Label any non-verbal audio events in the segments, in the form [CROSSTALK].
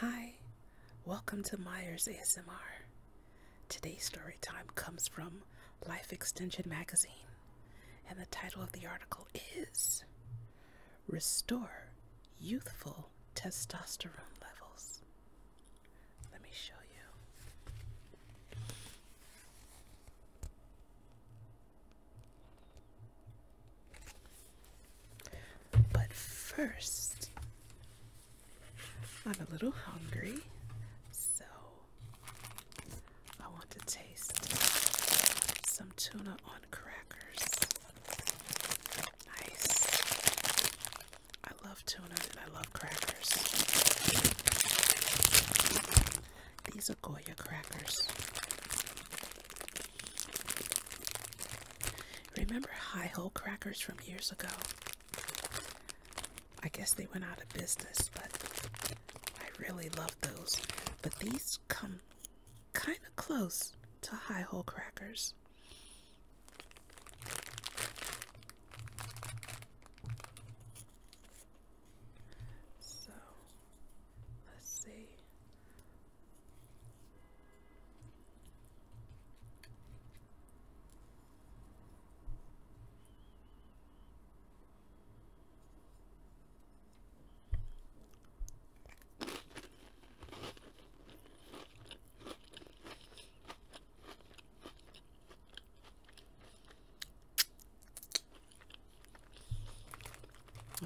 Hi, welcome to Myers ASMR. Today's story time comes from Life Extension Magazine, and the title of the article is Restore Youthful Testosterone Levels. Let me show you. But first, I'm a little hungry, so I want to taste some tuna on crackers. Nice. I love tuna and I love crackers. These are Goya crackers. Remember high hole crackers from years ago? I guess they went out of business, but I really love those. But these come kind of close to high hole crackers. So let's see.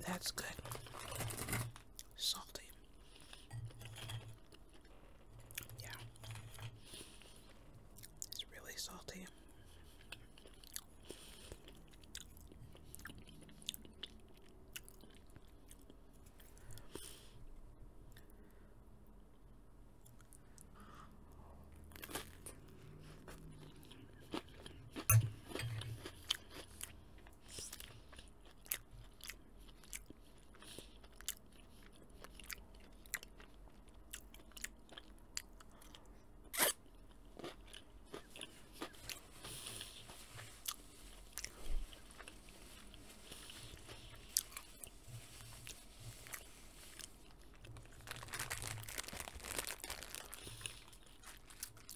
That's good. Salty. Yeah. It's really salty.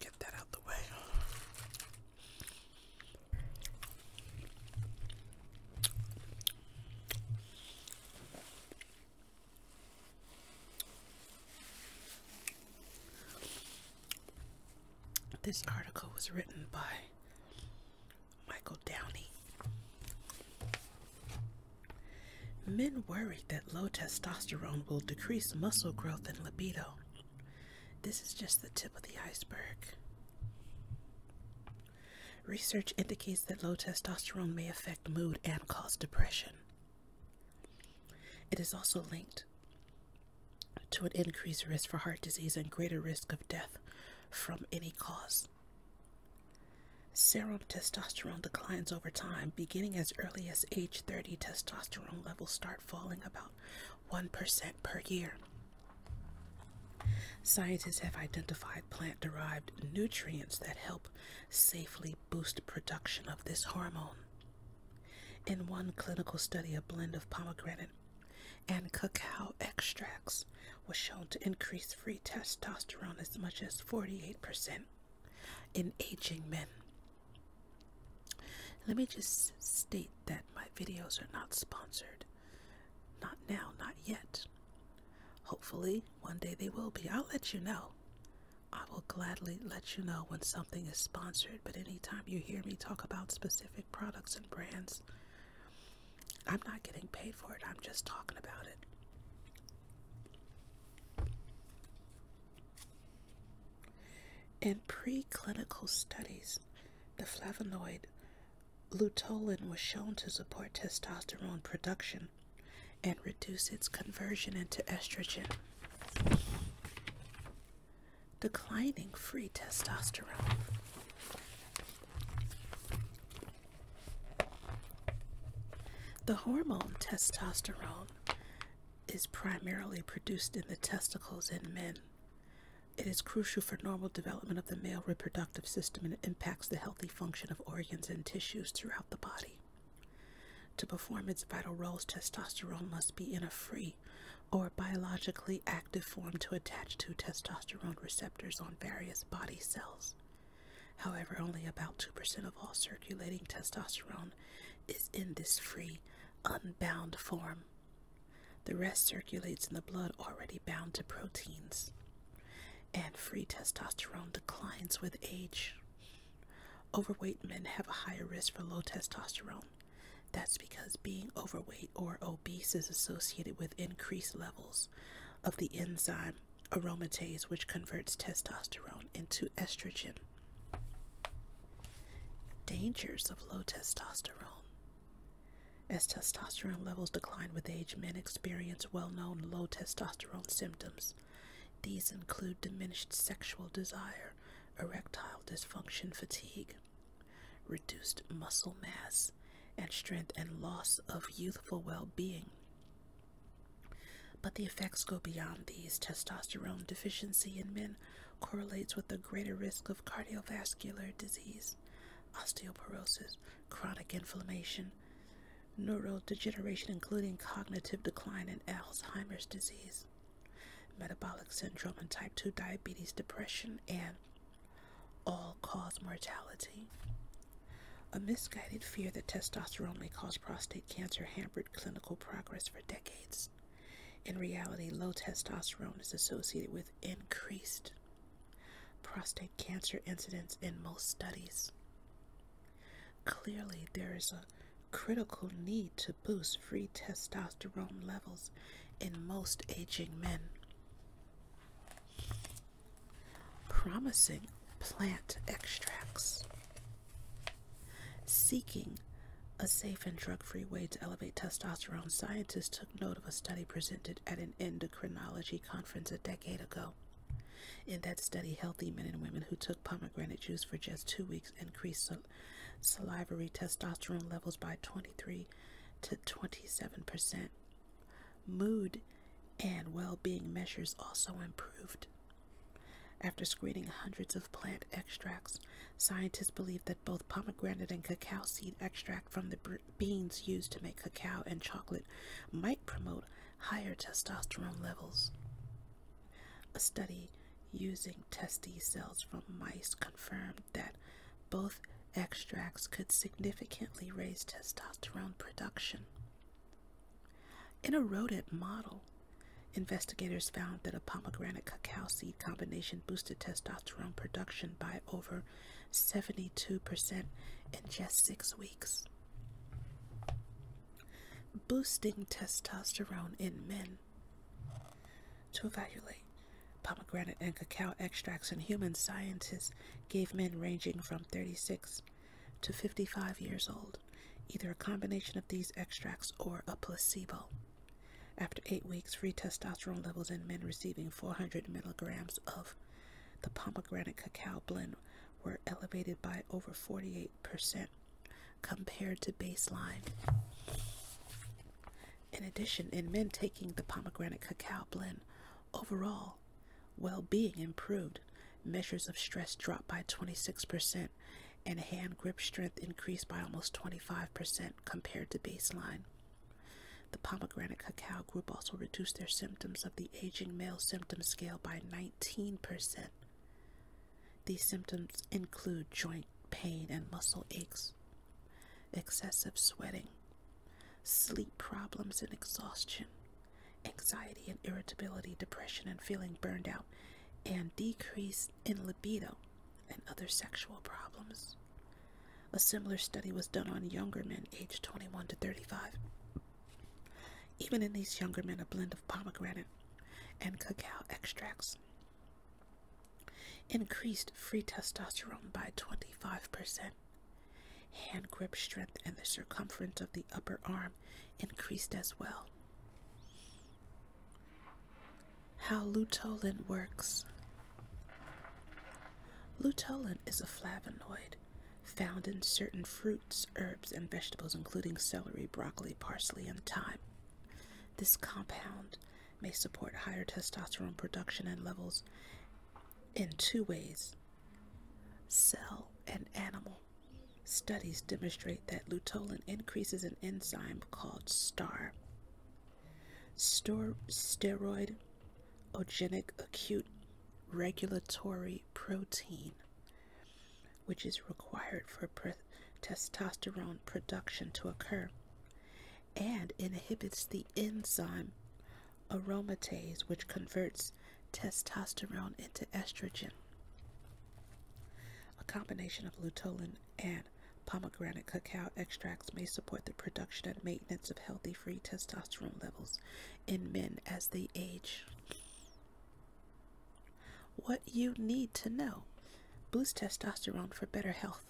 Get that out the way. This article was written by Michael Downey. Men worried that low testosterone will decrease muscle growth and libido. This is just the tip of the iceberg. Research indicates that low testosterone may affect mood and cause depression. It is also linked to an increased risk for heart disease and greater risk of death from any cause. Serum testosterone declines over time. Beginning as early as age 30, testosterone levels start falling about 1% per year. Scientists have identified plant derived nutrients that help safely boost production of this hormone. In one clinical study, a blend of pomegranate and cacao extracts was shown to increase free testosterone as much as 48% in aging men let me just state that my videos are not sponsored. Not now, not yet. Hopefully, one day they will be. I'll let you know. I will gladly let you know when something is sponsored, but anytime you hear me talk about specific products and brands, I'm not getting paid for it. I'm just talking about it. In preclinical studies, the flavonoid lutolin was shown to support testosterone production and reduce its conversion into estrogen. Declining free testosterone. The hormone testosterone is primarily produced in the testicles in men. It is crucial for normal development of the male reproductive system and it impacts the healthy function of organs and tissues throughout the body. To perform its vital roles, testosterone must be in a free or biologically active form to attach to testosterone receptors on various body cells. However, only about 2% of all circulating testosterone is in this free unbound form. The rest circulates in the blood already bound to proteins, and free testosterone declines with age. Overweight men have a higher risk for low testosterone. That's because being overweight or obese is associated with increased levels of the enzyme aromatase, which converts testosterone into estrogen. Dangers of low testosterone. As testosterone levels decline with age, men experience well known low testosterone symptoms. These include diminished sexual desire, erectile dysfunction, fatigue, reduced muscle mass and strength, and loss of youthful well being. But the effects go beyond these. Testosterone deficiency in men correlates with a greater risk of cardiovascular disease, osteoporosis, chronic inflammation, neurodegeneration, including cognitive decline and Alzheimer's disease, metabolic syndrome, and type 2 diabetes, depression, and all cause mortality. A misguided fear that testosterone may cause prostate cancer hampered clinical progress for decades. In reality, low testosterone is associated with increased prostate cancer incidence in most studies. Clearly, there is a critical need to boost free testosterone levels in most aging men. Promising plant extracts. Seeking a safe and drug free way to elevate testosterone, scientists took note of a study presented at an endocrinology conference a decade ago. In that study, healthy men and women who took pomegranate juice for just two weeks increased salivary testosterone levels by 23 to 27 percent. Mood and well being measures also improved. After screening hundreds of plant extracts, scientists believe that both pomegranate and cacao seed extract from the beans used to make cacao and chocolate might promote higher testosterone levels. A study using testes cells from mice confirmed that both extracts could significantly raise testosterone production. In a rodent model, Investigators found that a pomegranate cacao seed combination boosted testosterone production by over 72% in just six weeks. Boosting testosterone in men. To evaluate pomegranate and cacao extracts in human scientists gave men ranging from 36 to 55 years old either a combination of these extracts or a placebo. After eight weeks, free testosterone levels in men receiving 400 milligrams of the pomegranate cacao blend were elevated by over 48% compared to baseline. In addition, in men taking the pomegranate cacao blend, overall well being improved, measures of stress dropped by 26%, and hand grip strength increased by almost 25% compared to baseline. The pomegranate cacao group also reduced their symptoms of the aging male symptom scale by 19%. These symptoms include joint pain and muscle aches, excessive sweating, sleep problems and exhaustion, anxiety and irritability, depression and feeling burned out, and decreased in libido and other sexual problems. A similar study was done on younger men aged 21 to 35. Even in these younger men, a blend of pomegranate and cacao extracts increased free testosterone by 25%. Hand grip strength and the circumference of the upper arm increased as well. How lutolin works. Lutolin is a flavonoid found in certain fruits, herbs, and vegetables, including celery, broccoli, parsley, and thyme. This compound may support higher testosterone production and levels in two ways cell and animal. Studies demonstrate that lutolin increases an enzyme called STAR, Stor steroid acute regulatory protein, which is required for testosterone production to occur, and inhibits the enzyme aromatase, which converts testosterone into estrogen. A combination of luteolin and pomegranate cacao extracts may support the production and maintenance of healthy free testosterone levels in men as they age. What you need to know boost testosterone for better health.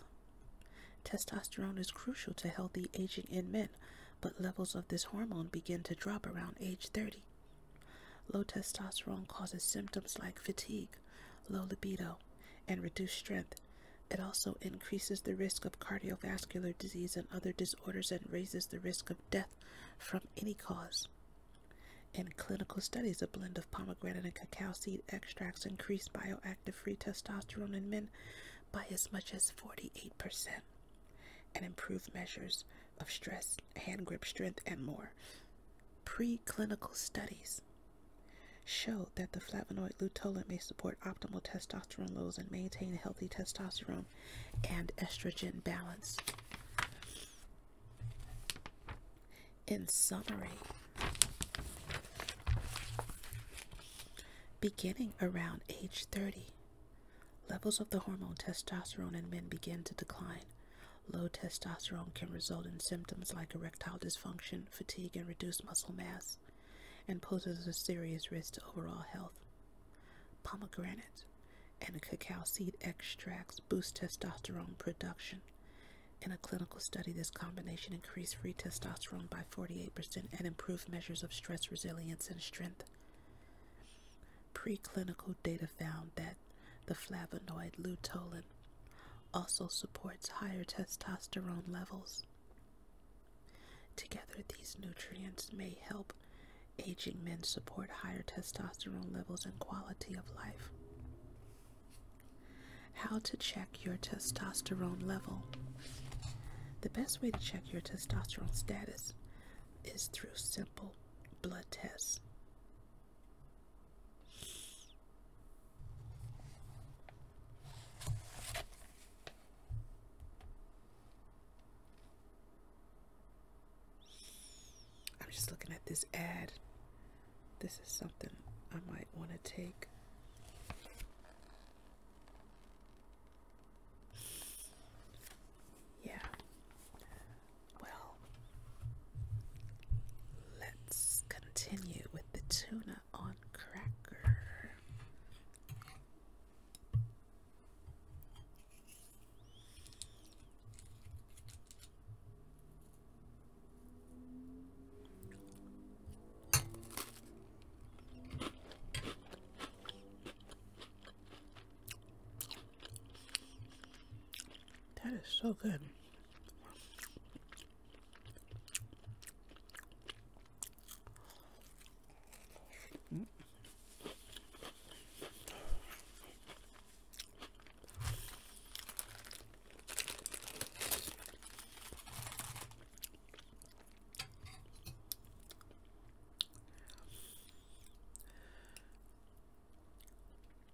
Testosterone is crucial to healthy aging in men, but levels of this hormone begin to drop around age 30. Low testosterone causes symptoms like fatigue, low libido, and reduced strength. It also increases the risk of cardiovascular disease and other disorders and raises the risk of death from any cause. In clinical studies, a blend of pomegranate and cacao seed extracts increased bioactive free testosterone in men by as much as 48% and improved measures of stress, hand grip strength, and more. Preclinical studies show that the flavonoid luteolin may support optimal testosterone levels and maintain healthy testosterone and estrogen balance. In summary, beginning around age 30, levels of the hormone testosterone in men begin to decline, Low testosterone can result in symptoms like erectile dysfunction, fatigue, and reduced muscle mass, and poses a serious risk to overall health. Pomegranate and cacao seed extracts boost testosterone production. In a clinical study, this combination increased free testosterone by 48% and improved measures of stress resilience and strength. Preclinical data found that the flavonoid luteolin also supports higher testosterone levels. Together, these nutrients may help aging men support higher testosterone levels and quality of life. How to check your testosterone level. The best way to check your testosterone status is through simple blood tests. I'm just looking at this ad. This is something I might want to take. Yeah, well, let's continue with the tuna on cracker. That is so good.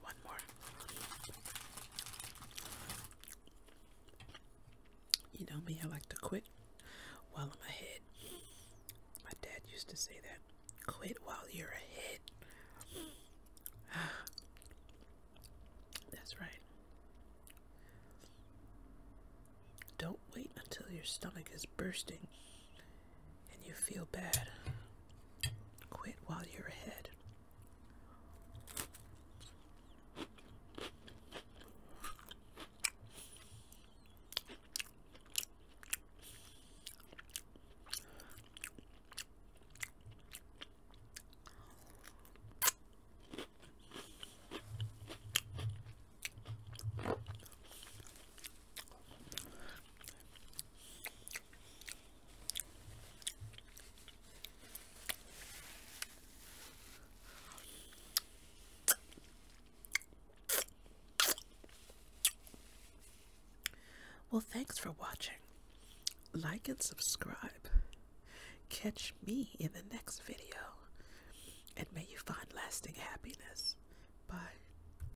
One more. You know me, I like to quit while I'm ahead. My dad used to say that quit while you're ahead. [SIGHS] That's right. Don't wait until your stomach is bursting and you feel bad, quit while you're ahead. Well, thanks for watching. Like and subscribe. Catch me in the next video. And may you find lasting happiness. Bye.